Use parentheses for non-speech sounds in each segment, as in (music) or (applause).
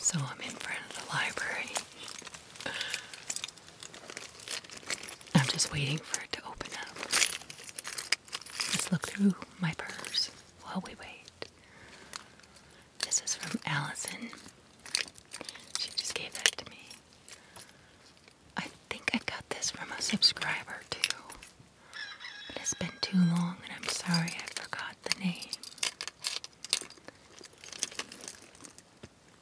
So I'm in front of the library. I'm just waiting for it to open up. Let's look through my purse while we wait. This is from Allison. She just gave that to me. I think I got this from a subscriber too. it's been too long and I'm sorry I forgot the name.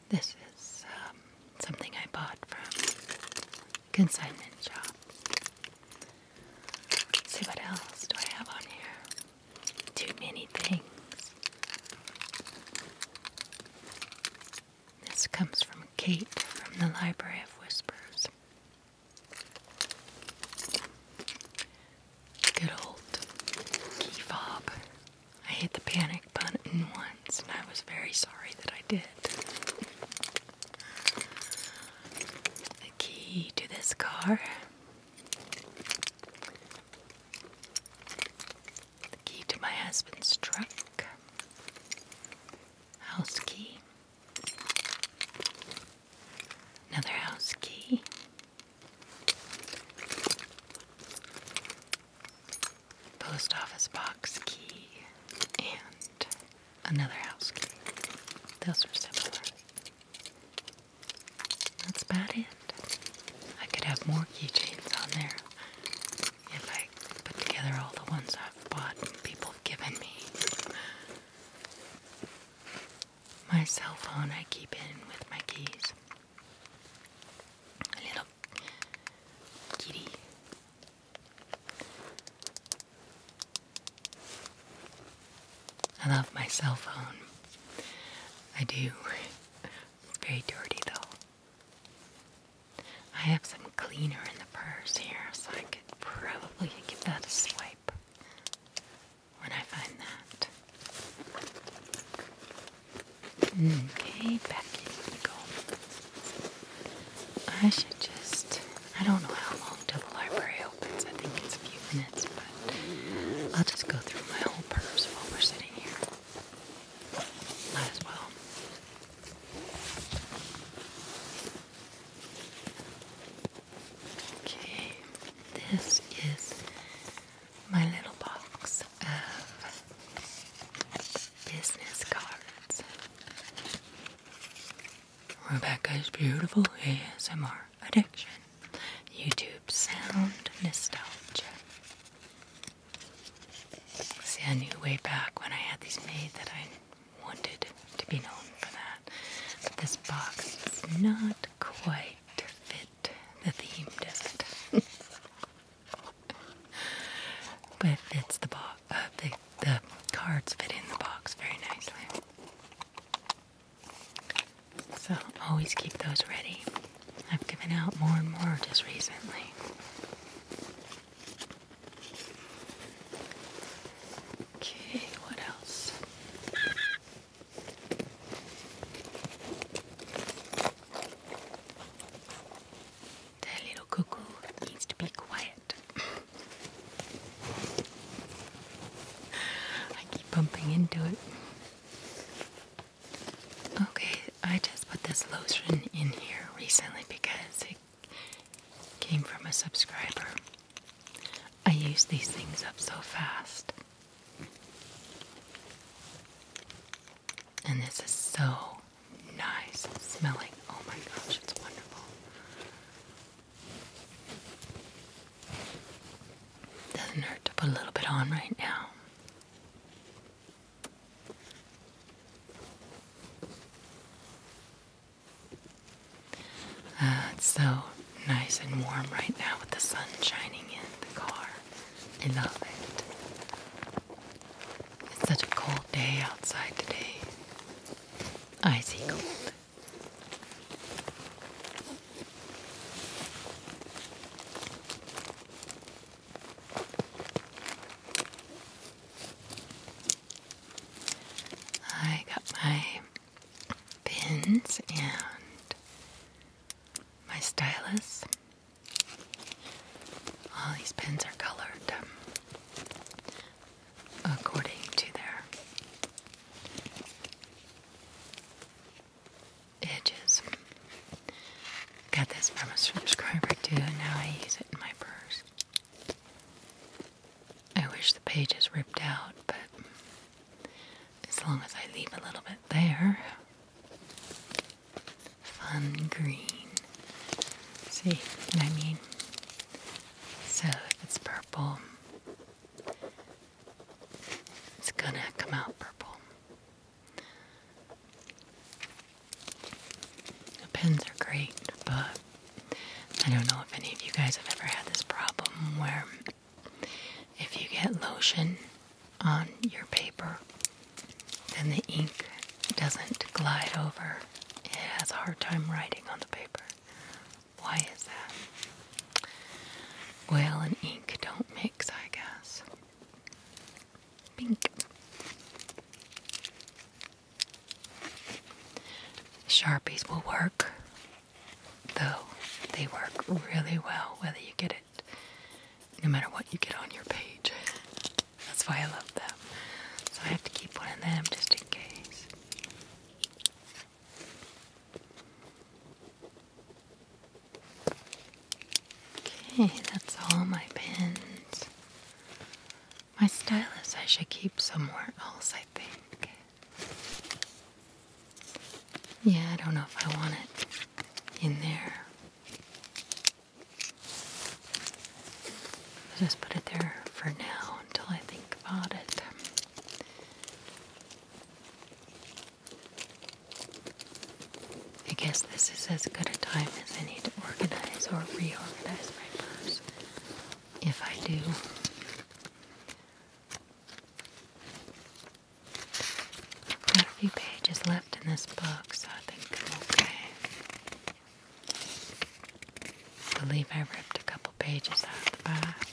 This is um, something I bought from consignment shop. see what else do I have on here too many things. This comes from Kate from the Library of Whispers. Good old key fob. I hit the panic button once and I was very sorry that I did. The key to this car the key to my husband's truck. House key. Another house key. Post office box key. And another house key. Those are similar. That's about it. I could have more keychains on there if I put together all the ones I've bought and people have given me. My cell phone I keep in with my keys. A little kitty. I love my cell phone. I do very dirty though. I have some cleaner in the purse here, so I could probably give that a swipe when I find that. Okay, back in go. I should just, I don't know how long till the library opens. I think it's a few minutes. I'll just go through my whole purse while we're sitting here. Might as well. Okay, this is my little box of business cards. Rebecca's beautiful ASMR addiction. YouTube sound nostalgia. See, I knew way back when I had these made that I wanted to be known for that. this box does not quite fit the theme, does it? (laughs) but it fits the box. Uh, the cards fit in the box very nicely. So always keep those ready. I've given out more and more just recently. Okay, what else? That little cuckoo needs to be quiet. (laughs) I keep bumping into it. Okay, I just put this lotion in here recently because it came from a subscriber. I use these things up so fast. And this is so nice smelling. Oh my gosh, it's wonderful. Doesn't hurt to put a little bit on right now. Ah, it's so nice and warm right now with the sun shining in the car. I love it. It's such a cold day outside today. Icy cold. I got my pins and my stylus. All these pins are colored according to their edges. Got this from a subscriber too, and now I use it in my purse. I wish the pages ripped out, but as long as I leave a little bit there. Fun green. See I mean? So if it's purple, it's gonna come out purple. Pens are great, but I don't know if any of you guys have ever had this problem where if you get lotion on your paper, then the ink doesn't glide over. It has a hard time writing on the paper. Why is that? Oil and ink don't mix, I guess. Pink. Sharpies will work, though they work really well whether you get it, no matter what you get on your page. That's why I love them. So I have to keep one of them just in case. Okay, that's all my pins. My stylus I should keep somewhere else, I think. Yeah, I don't know if I want it in there. I'll put it there for now until I think about it. I guess this is as good a time as I need to organize or reorganize my purse. If I do. I've got a few pages left in this book, so I think I'm okay. I believe I ripped a couple pages out of the back.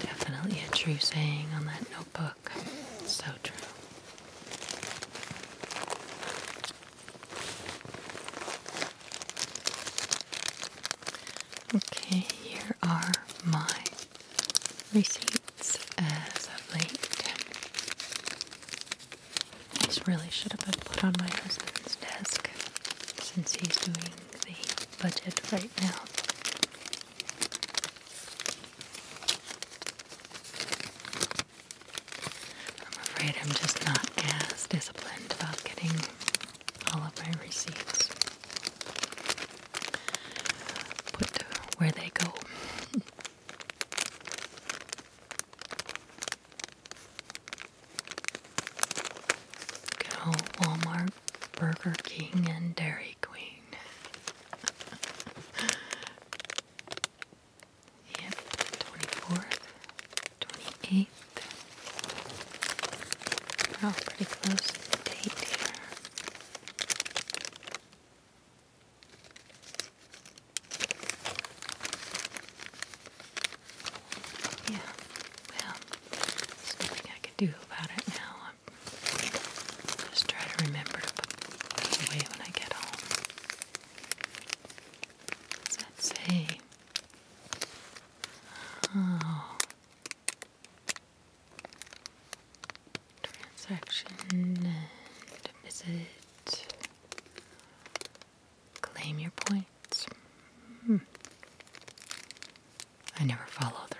Definitely a true saying on that notebook. So true. Okay, here are my receipts as of late. These really should have been put on my husband's desk since he's doing budget right now. I'm afraid I'm just not as disciplined about getting all of my receipts put where they go. Go Walmart, Burger King, and Dairy Queen. (laughs) yep, 24th, 28th. We're all pretty close to the date here. Yeah, well, there's nothing I can do about it now. I'm just trying to remember to put it away when I get home. What's that say? Oh. Transaction and visit. Claim your point. Hmm. I never follow through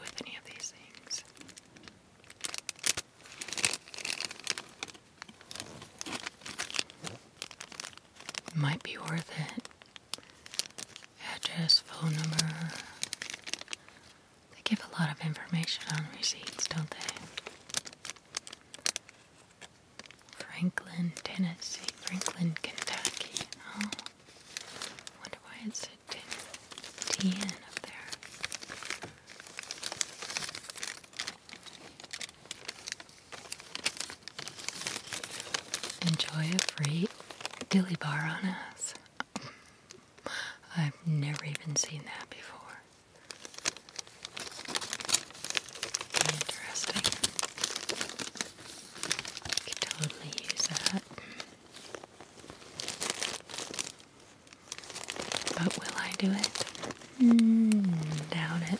with any of these things. Might be worth it. Address, phone number. They give a lot of information on receipts, don't they? Franklin, Tennessee. Franklin, Kentucky. Oh, wonder why it said up there. Enjoy a free dilly bar on us. I've never even seen that before. Interesting. I could totally use that. But will I do it? Hmm. doubt it.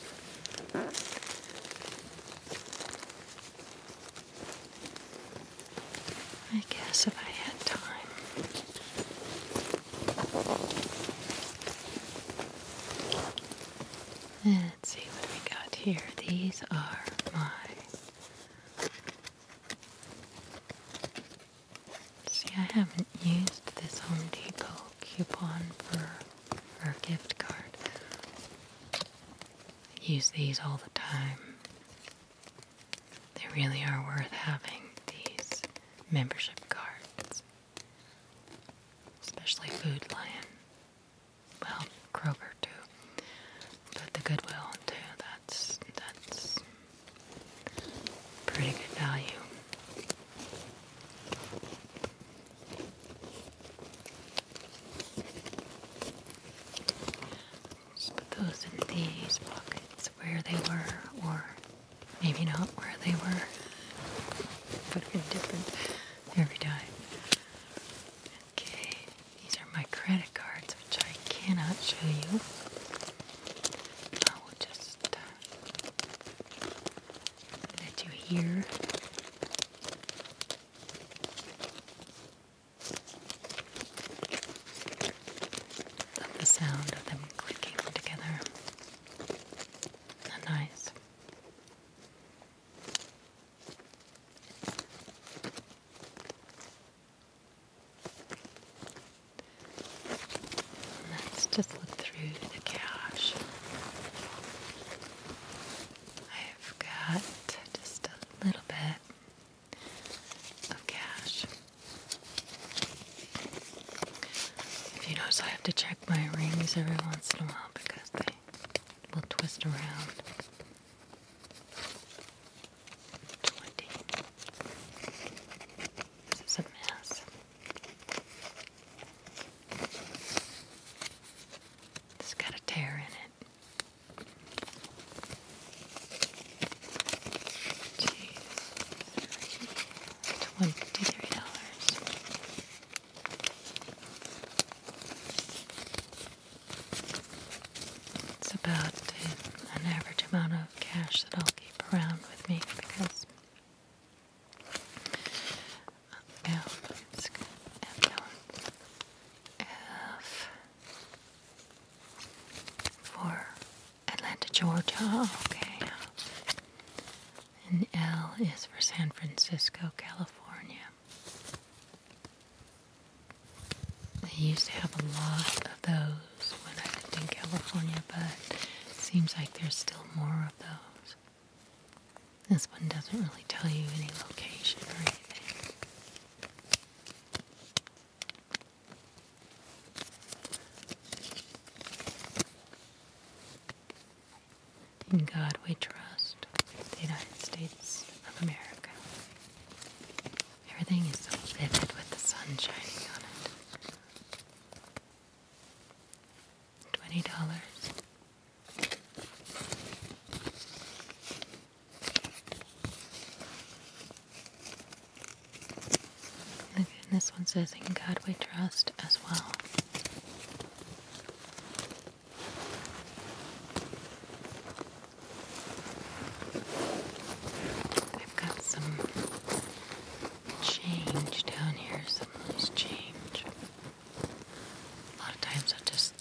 I guess if I had time let's see what we got here. These are my See, I haven't used this Home Depot coupon for, for a gift card. use these all the time. They really are worth having, these membership cards, especially Food Lion well, Kroger too, but the Goodwill too. That's that's pretty good value. Just put those in these pockets where they were, or maybe not where they were. Put in different every Okay, these are my credit cards, which I cannot show you. I will just uh, let you hear. the sound of them clicking together. nice just look through the cache. I've got just a little bit of cache. If you notice, I have to check my rings every once in a while because they will twist around. Twenty. This is a mess. It's got a tear in it. Twenty-three dollars. It's about an average amount of cash that I'll keep around with me because L is for Atlanta, Georgia. Okay. And L is for San Francisco, California. I used to have a lot of those when I lived in California, but seems like there's still more of those. This one doesn't really tell you any location or anything. In God we trust, the United States of America. Everything is so vivid with the sun shining on it. Twenty dollars. this one says, In God we trust as well. I've got some change down here, some loose change. A lot of times i just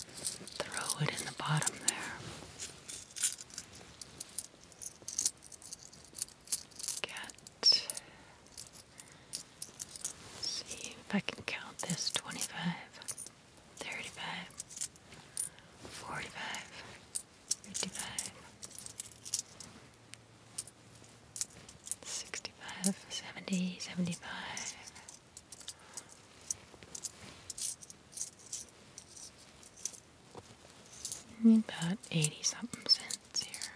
throw it in the bottom there. Get. See if I can count this 25 thirty-five, forty-five, fifty-five, sixty-five, seventy, seventy-five. Mm, about 80 something cents here.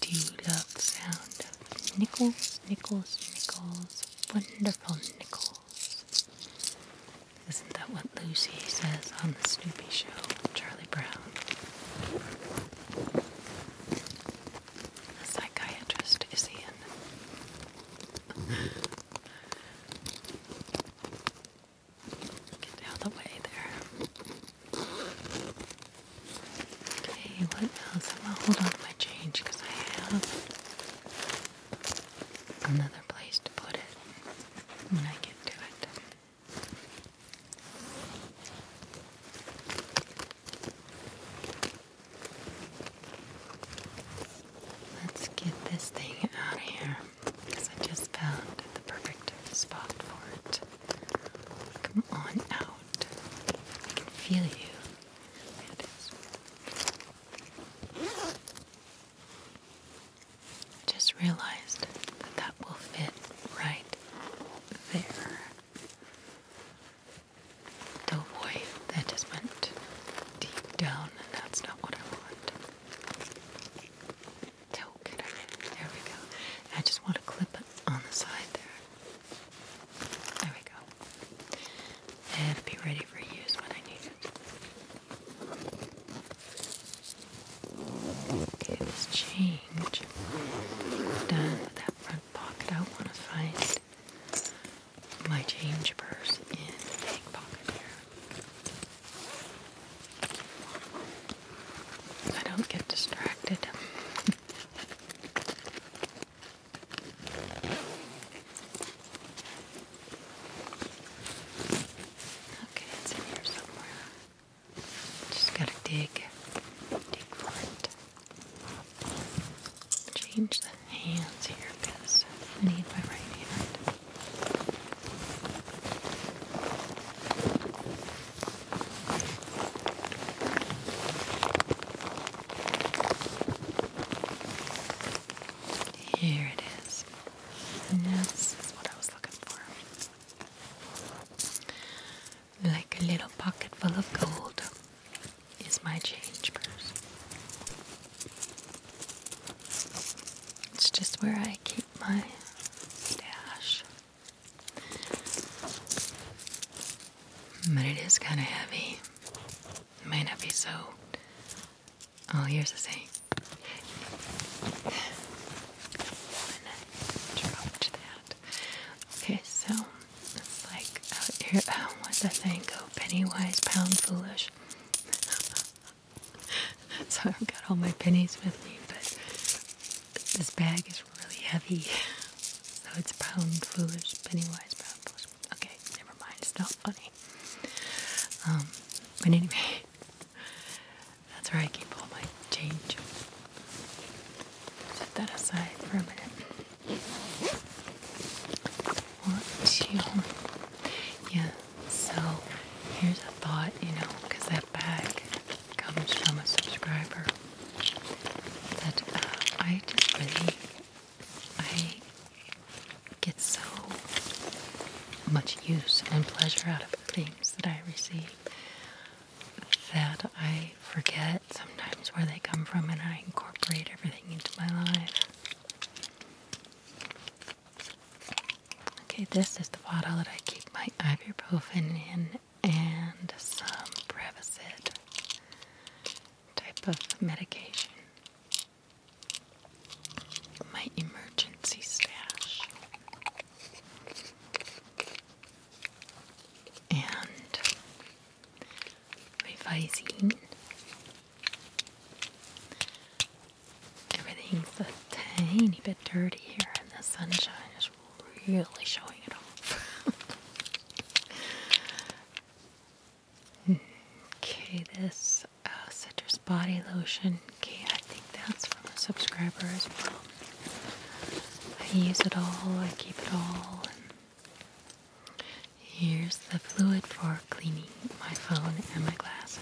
Do you love the sound of nickels, nickels, nickels, wonderful nickels? Isn't that what Lucy says on the Snoopy Show Charlie Brown? The psychiatrist is in. Get out of the way there. Okay, what else? I'm gonna hold on to my change because I have another place to put it when I get to it. Let's get this thing out of here. I just found the perfect spot for it. Come on out. I can feel you. I just realized that that will fit right there. Oh boy, that just went deep down, and that's not what I want token. There we go. I just want to clip it on the side there. There we go. And be ready for use when I need it. Okay, this change. done with that front pocket. I want to find my change purse in the pocket here. I don't get distracted. okay, it's in here somewhere. Just gotta dig, dig for it. Change the hands here because I need my right hand. Here it is. This is what I was looking for. Like a little pocket full of gold is my change purse. It's just where I keep my stash. But it is kind of heavy. May not be so. Oh, here's the thing. Okay, so it's like out here. Oh, (laughs) what's that thing? Oh, penny wise, pound foolish. (laughs) so I've got all my pennies with me, but this bag is really heavy, (laughs) so it's pound foolish, pennywise pound foolish. Okay, never mind, it's not funny. Um, but anyway, (laughs) that's where I keep all my change. Set that aside for a minute. Yeah, so here's a thought, you know, because that bag comes from a subscriber that uh, I just really I get so much use and pleasure out of the things that I receive that I forget sometimes where they come from and I incorporate everything into my life. Okay, this is the bottle that I keep my ibuprofen in and some Prevacid type of medication. My emergency stash. And my Visine. Everything's a tiny bit dirty here, in the sunshine is really showing it off. (laughs) okay, this uh, citrus body lotion. Okay, I think that's from a subscriber as well. I use it all, I keep it all. here's the fluid for cleaning my phone and my glasses.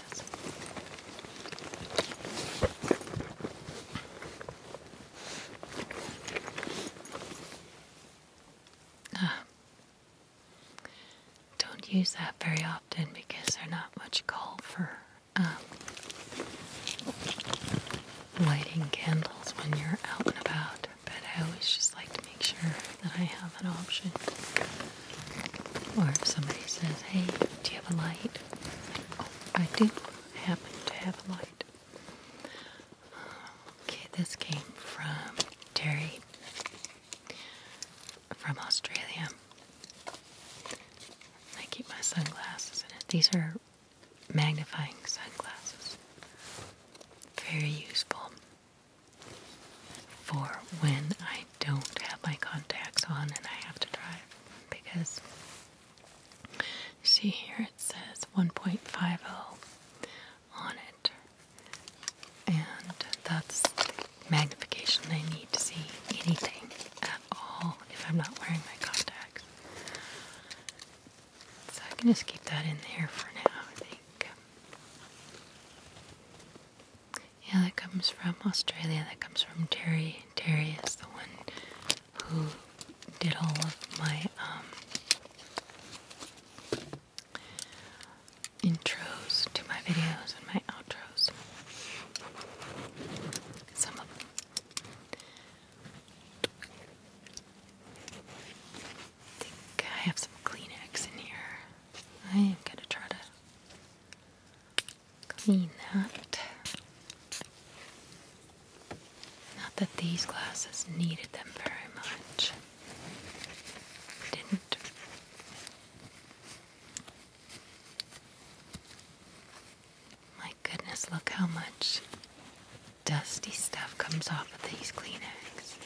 Ah. Don't use that very often because there's not much call for um, lighting candles when you're out and about, but I always just like to make sure that I have an option. Or if somebody says, hey, do you have a light? Oh, I do happen to have a light. Okay, this came from Terry from Australia. I keep my sunglasses in it. These are magnifying sunglasses. Very useful for when I don't have my contacts on and I have to drive because See here it says 1.50 on it, and that's magnification I need to see anything at all if I'm not wearing my contacts. So I can just keep that in there for now, I think. Yeah, that comes from Australia. That comes from Terry. Terry is the one who did all of my um, intros to my videos and my outros. Some of I think I have some Kleenex in here. I am gonna try to clean that. Not that these glasses needed them very much. Didn't. My goodness, look how much dusty stuff comes off of these Kleenex.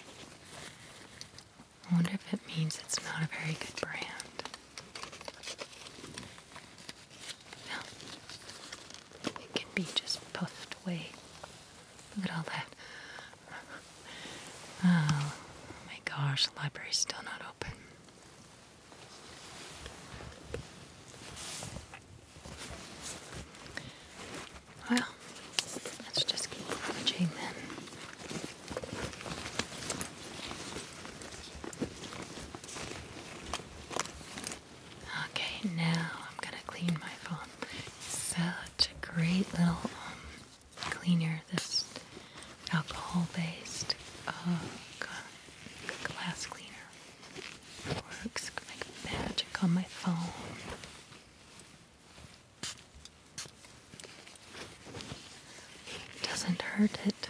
I wonder if it means it's not a very good brand. Well, it can be just puffed away. Look at all that. (laughs) Oh my gosh, the still not open. Well, let's just keep rummaging then. Okay, now I'm gonna clean my phone. Such a great little um, cleaner, this alcohol based uh, glass cleaner. Works like magic on my phone. Doesn't hurt it.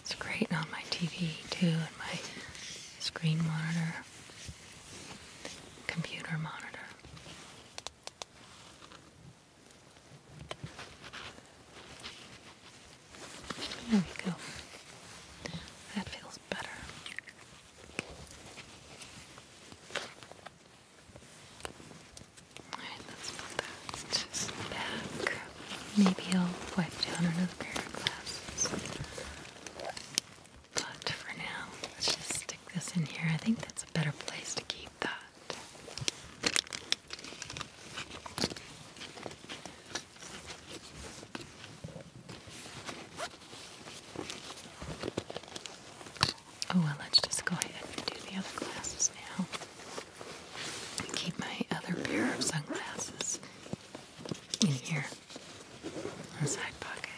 It's great on my TV too, and my screen monitor, computer monitor. There we go. That feels better. Alright, let's put that just back maybe I'll wipe down another pair of glasses. But for now, let's just stick this in here. I think that's a better place to keep that. Oh well, let's just go ahead and do the other glasses now. keep my other pair of sunglasses in here, in pocket.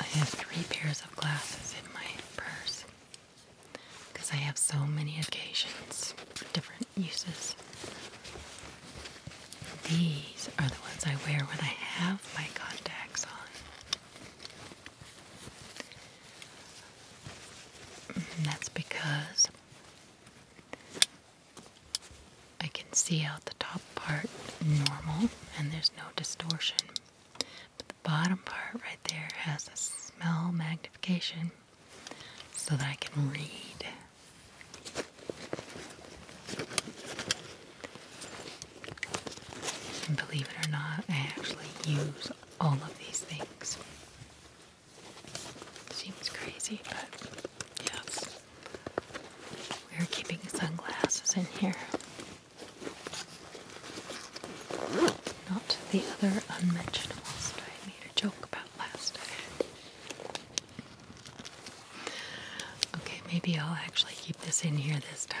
I have three pairs of glasses in my purse because I have so many occasions different uses. These are the ones I wear when I have my contacts on. That's because I can see out the top part normal and there's no distortion. But the bottom part right there has a smell magnification so that I can read. believe it or not, I actually use all of these things. Seems crazy, but yes. We're keeping sunglasses in here. Not the other unmentionables that I made a joke about last time. Okay, maybe I'll actually keep this in here this time.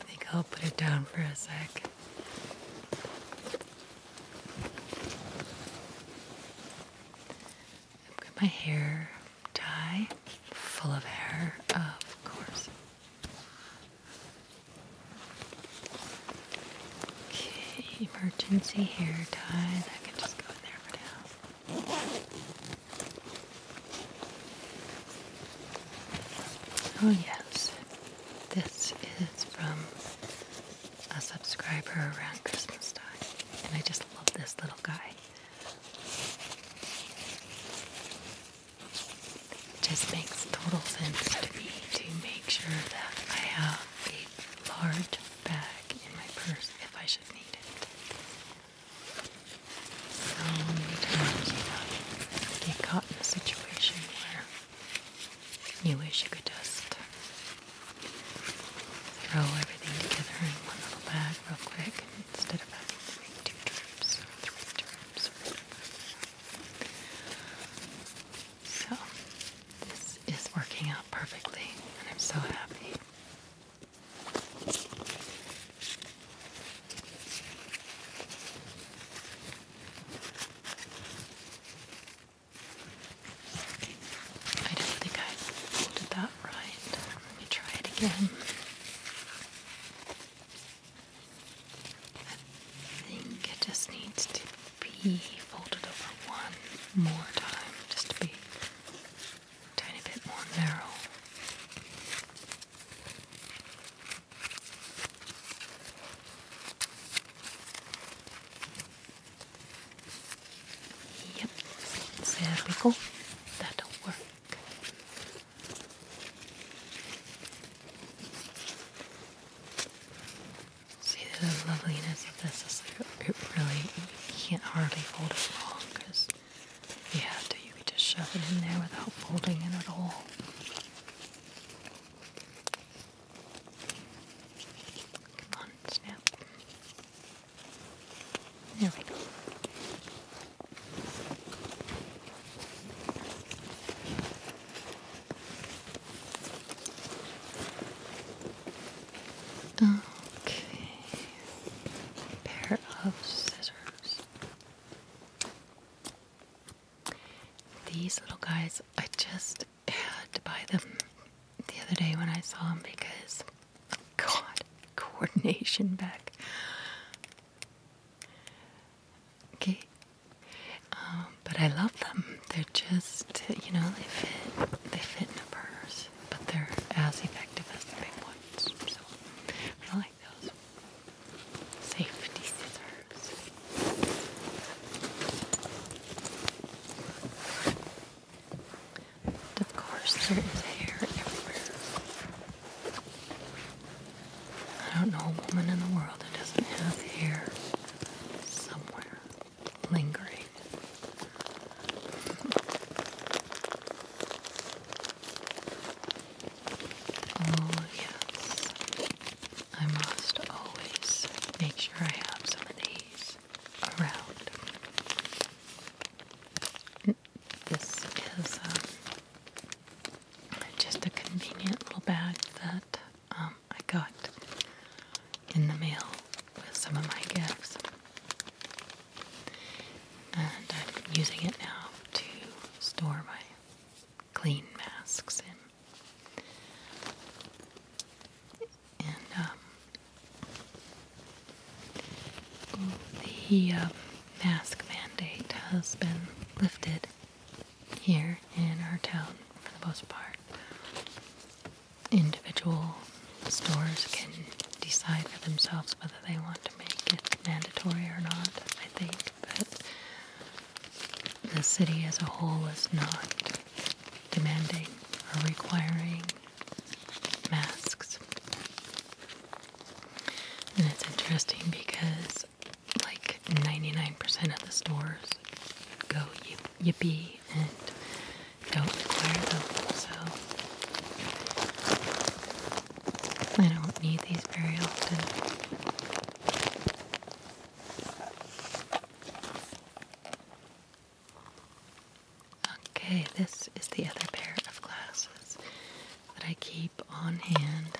I think I'll put it down for a sec. i my hair tie full of hair, of course. Okay, emergency hair tie. That can just go in there for now. Oh, yes, this is from a subscriber around Christmas time, and I just love this little guy. It just makes total sense to me to make sure that I have a large bag in my purse if I should need it. So many times you know, get caught in a situation where you wish you could just throw everything together in one little bag real quick instead of having to make two trips three trips So this is working out perfectly and I'm so happy. I don't think I did that right. Let me try it again. I think it just needs to be folded over one more time, just to be a tiny bit more narrow. Yep, there we go. That'll work. See the loveliness of this it really you can't hardly fold it long because if you have to you could just shove it in there without folding it at all. Come on, snap. There we go. Okay. Pair of scissors. These little guys, I just had to buy them the other day when I saw them because, oh God, (laughs) coordination back. Okay, um, but I love them. They're just, you know, they fit. They fit in a purse, but they're as effective as the big ones. So, safety scissors. of course, there is hair everywhere. I don't know a woman in the world that doesn't have hair somewhere lingering. (laughs) Oh, yes. I must always make sure I have some of these around. This is um, just a convenient little bag that um, I got in the mail with some of my gifts. And I'm using it now to store my clean masks And um, the um, mask mandate has been lifted here in our town for the most part. Individual stores can decide for themselves whether they want to make it mandatory or not, I think but the city as a whole is not demanding or requiring masks. And it's interesting because like 99% of the stores go yippee and don't require them, so I don't need these very often. Okay, this is the other pair of glasses that I keep on hand,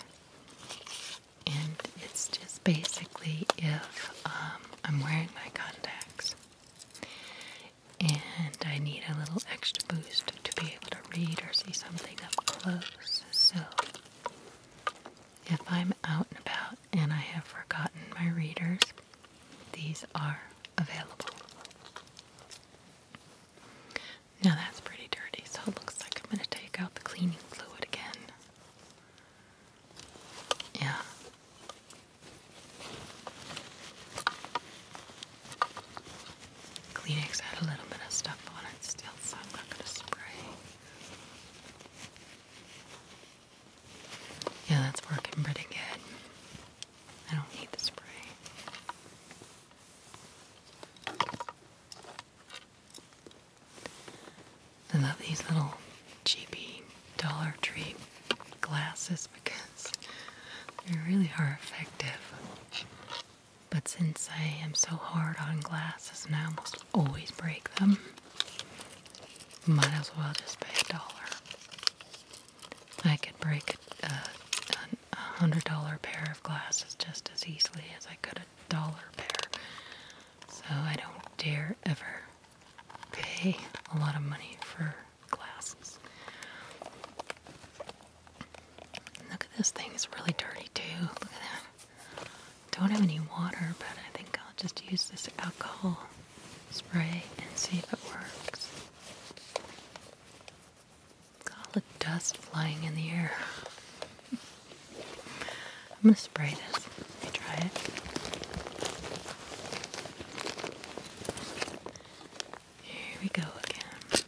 and it's just basically if um, I'm wearing my contacts and I need a little extra boost to be able to read or see something up close. So if I'm out and about and I have forgotten my readers, these are available. Now that's pretty dirty, so it looks like I'm going to take out the cleaning fluid again. Yeah. Kleenex had a little bit of stuff on it still, so I'm not going to spray. Yeah, that's working pretty good. I don't need the spray. I love these little cheapy Dollar Tree glasses because they really are effective. But since I am so hard on glasses and I almost always break them, might as well just pay a dollar. I could break a, a, hundred dollar pair of glasses just as easily as I could a dollar pair. So I don't dare ever pay a lot of money for glasses. Look at this thing, it's really dirty too. Look at that. Don't have any water, but I think I'll just use this alcohol spray and see if it works. Got all the dust flying in the air. (laughs) I'm gonna spray this. Let me try it. Here we go again.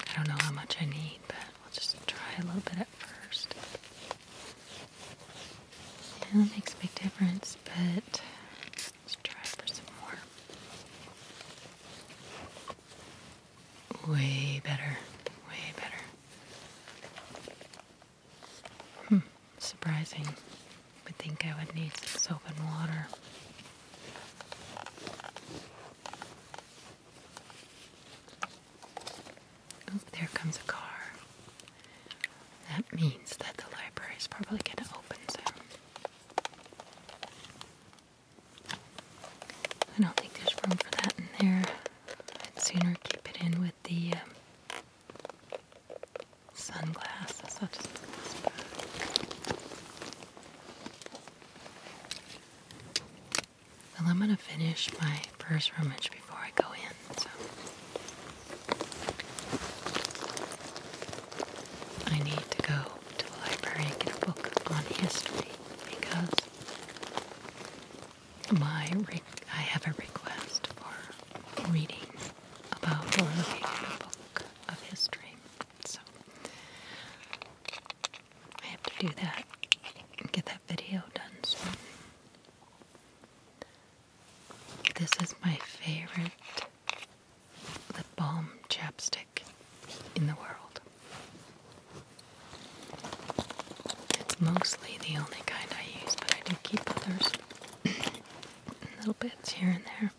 I don't know how much I need, but we'll just try a little bit at first. Yeah, that makes a big difference, but let's try for some more. Way better, way better. Hmm, surprising. I would think I would need some soap and water. Oh, there comes a car. That means that the library is probably going to open soon. I don't think there's room for that in there. I'd sooner keep it in with the um, sunglasses. i Well, I'm gonna finish my first rummage before I go in, so I need to go to the library and get a book on history because my I have a request for reading about or looking at a book of history. So I have to do that get that video done soon. This is my favorite lip balm chapstick in the world. It's mostly the only kind I use, but I do keep others. (clears throat) Little bits here and there.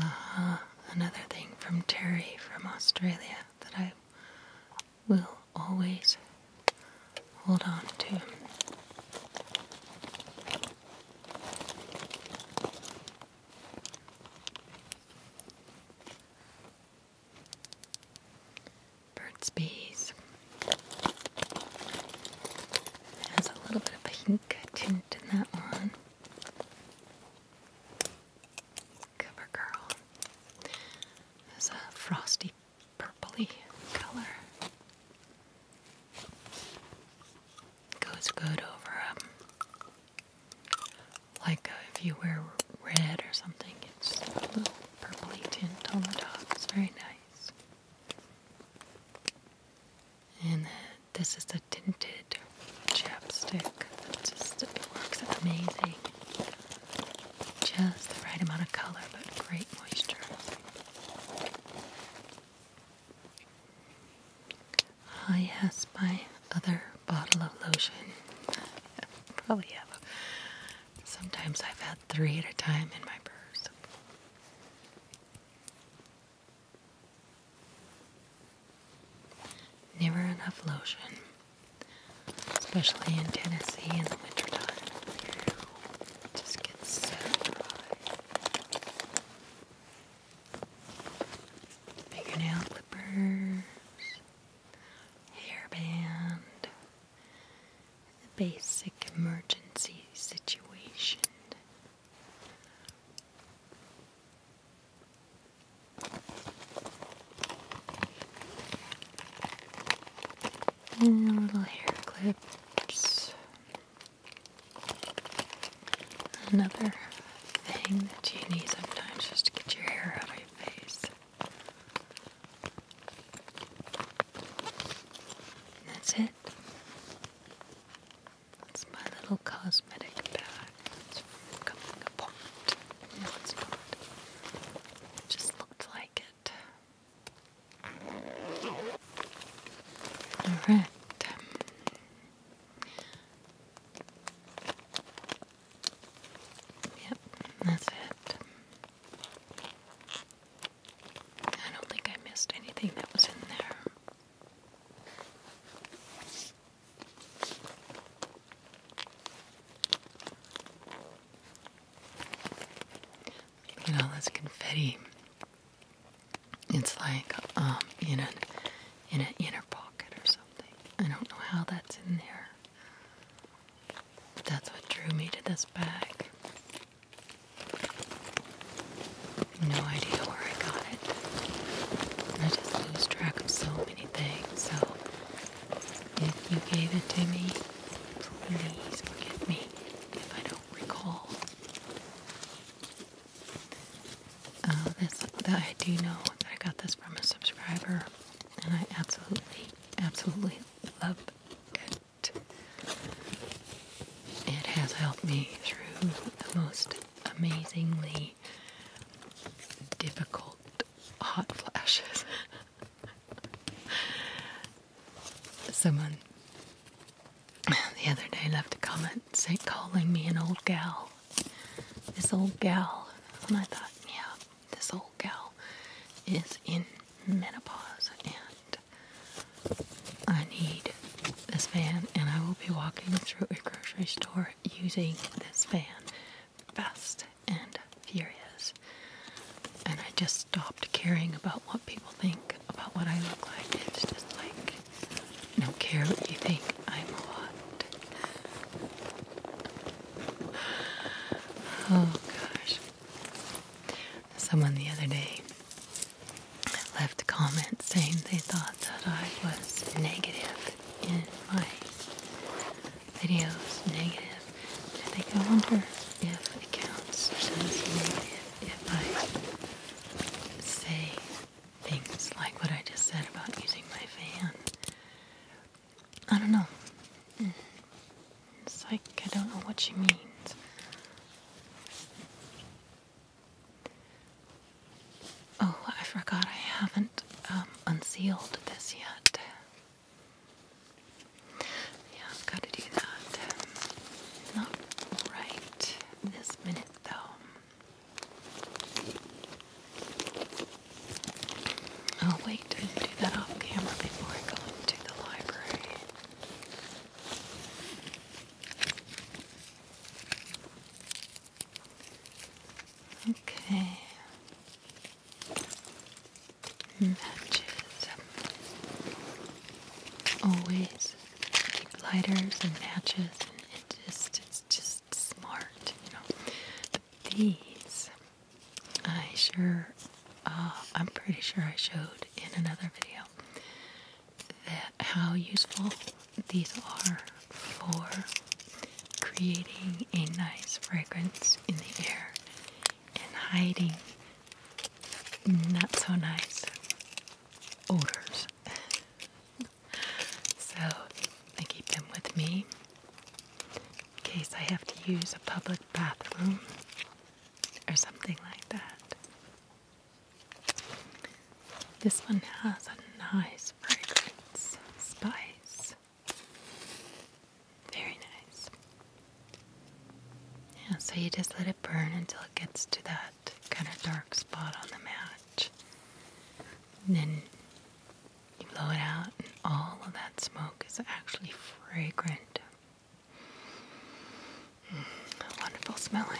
Uh, another thing from Terry from Australia that I will always hold on to. Burt's Bees has a little bit of a pink tint in that one. Cover has a frosty purply color. Goes good over um, like uh, if you wear red or something, it's a little purpley tint on the top. It's very nice. And this is the tinted chapstick. It just it works amazing. Just the right amount of color, but great moisture. I oh, ah, yes, my other bottle of lotion. (laughs) Probably have. Sometimes I've had three at a time in my purse. Never enough lotion, especially in Tennessee in the wintertime. It just gets so dry. Fingernail clippers, hairband, the basic emergency situation. And little hair clips. Another thing that you need sometimes just to get your hair out of your face. That's it. That's my little cosmetic bag. It's coming apart. No, it's not. just looked like it. Alright. Yep, that's it. I don't think I missed anything that was in there. Look at all confetti. It's like um, in an in an inner pocket or something. I don't know how that's in there. That's what drew me to this bag. No idea where I got it. I just lose track of so many things, so if you gave it to me, please forgive me if I don't recall. Uh, this, I do know that I got this from a subscriber, and I absolutely, absolutely love it has helped me through the most amazingly difficult hot flashes. (laughs) Someone the other day left a comment saying, calling me an old gal. This old gal. And I thought, yeah, this old gal is in menopause and I need this fan and I will be walking through a grocery store using this fan fast and furious. And I just stopped caring about what people think about what I look like. It's just like don't care what you think, I'm hot. (sighs) Oh gosh someone the other day left a comment saying they thought that I was negative in my videos. Negative. I think I wonder if it counts as negative if I say things like what I just said about using my fan. I don't know. Hmm. It's like I don't know what she means. Oh, I forgot I haven't um, unsealed this yet. Yeah, I've got to do that. Not right this minute, though. Oh, wait, I do that off camera before I go into the library. Okay. Matches. Always keep lighters and matches, and just, it's just smart, you know. these I sure, uh, I'm pretty sure I showed in another video that how useful these are for creating a nice fragrance in the air and hiding not so nice odors. (laughs) so I keep them with me in case I have to use a public bathroom or something like that. This one has a nice fragrance, spice. Very nice. Yeah, so you just let it burn until it gets to that kind of dark spot on the match. then you blow it out, and all of that smoke is actually fragrant Wonderful smelling.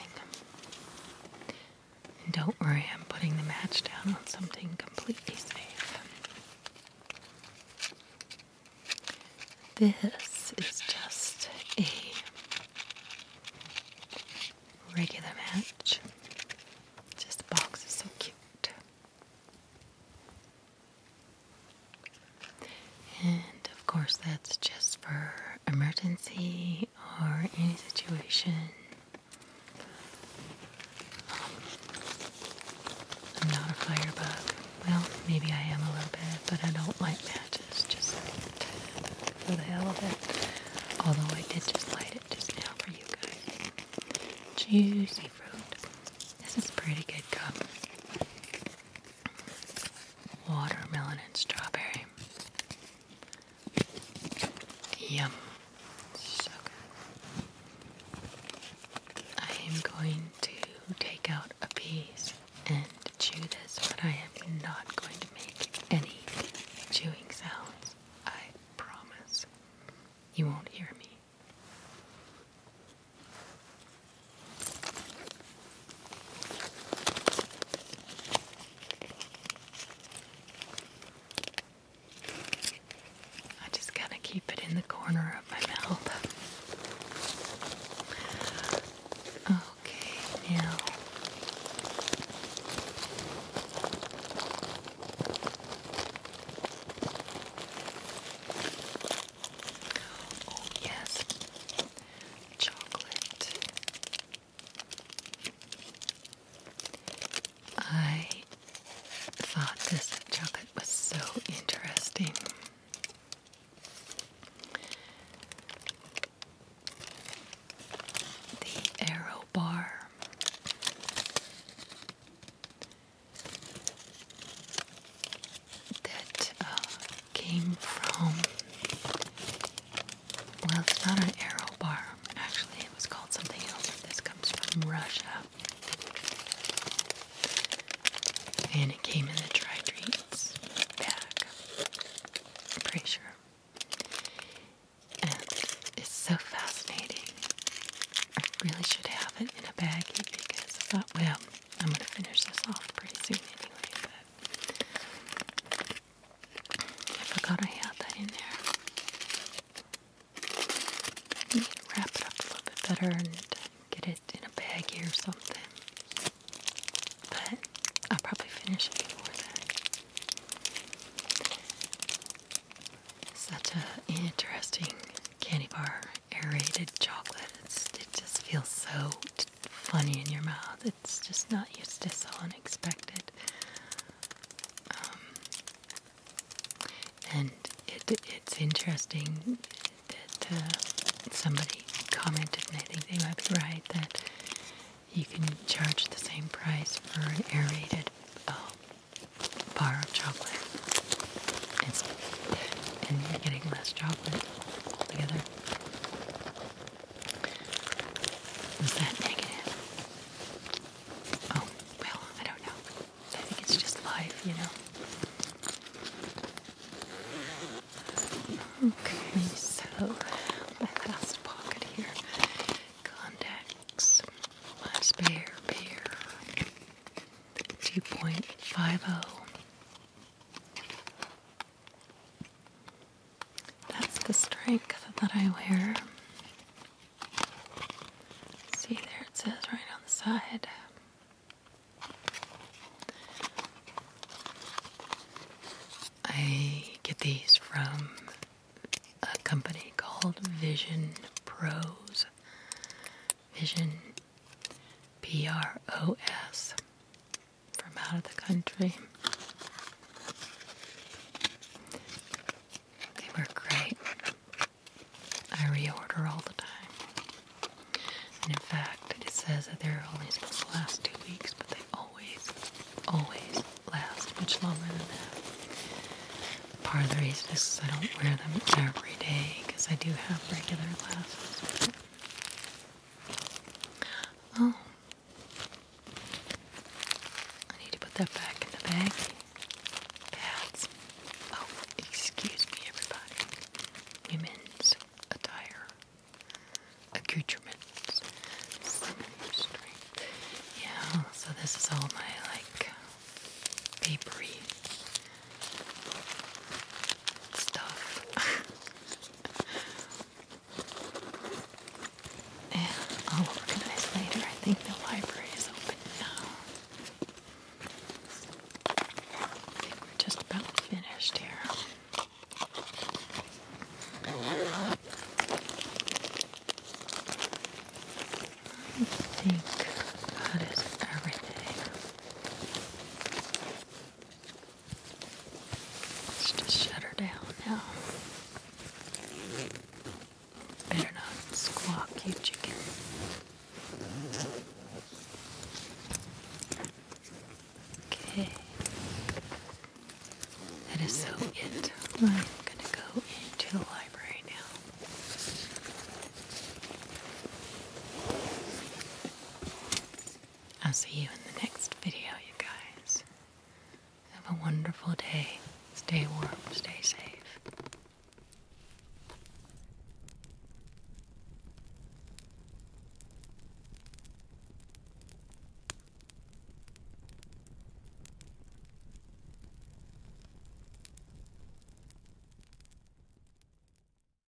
don't worry, I'm putting the match down on something completely safe. This is just a regular match. Just the box is so cute. And of course, that's just for emergency or any situation. I'm not a firebug. Well, maybe I am a little bit, but I don't like matches just for the hell of it. Although I did just light it just now for you guys. Juicy fruit. This is pretty good cup. Watermelon and strawberry. Yum. So good. I am going to take out a piece and chew this, but I am not going to make any chewing sounds. I promise. You won't hear me. I just gotta keep it in the corner of my mouth. Okay, now. Oh, yes, chocolate. I thought this chocolate was so interesting. The arrow bar that uh, came from, well, it's not an arrow bar. Actually, it was called something else. This comes from Russia. And it came in the dry treats bag. I'm pretty sure. And it's so fascinating. I really should have it in a baggie because I thought, well, I'm going to finish this off pretty soon anyway, but I forgot I had that in there. wrap it up a little bit better and get it in a baggie or something. But I'll probably finish it before that. Such an interesting candy bar aerated chocolate. it just feels so funny in your mouth. It's just not used to so unexpected. Um, and it's interesting that uh, somebody commented, and I think they might be right, that you can charge the same price for an aerated uh, bar of chocolate. and you're getting less chocolate together. Was that negative? Oh, well, I don't know. I think it's just life, you know? Okay, so my last pocket here contacts, last pair, pair, 2.50. That's the strength that I wear. See, there it says right on the side. I get these from a company called Vision Pros. Vision PROS from out of the country. They were great. I reorder all the time. And in fact, it says that they're only supposed to last two weeks, but they always, always last much longer than that. Part of the I don't wear them every day because I do have regular glasses. Oh. I need to put that back in the bag. Pads. Oh, excuse me, everybody. Women's attire. Accoutrements. Yeah, so this is all my, like, papery stuff. (laughs) and oh, I'll organize later. I think the library is open now. just about finished here. I think that is everything. Let's just shut her down now. Better not squawk, you chicken. Okay. That is so it. I'm gonna go into the library now. I'll see you in the next video, you guys. Have a wonderful day. Stay warm, stay safe.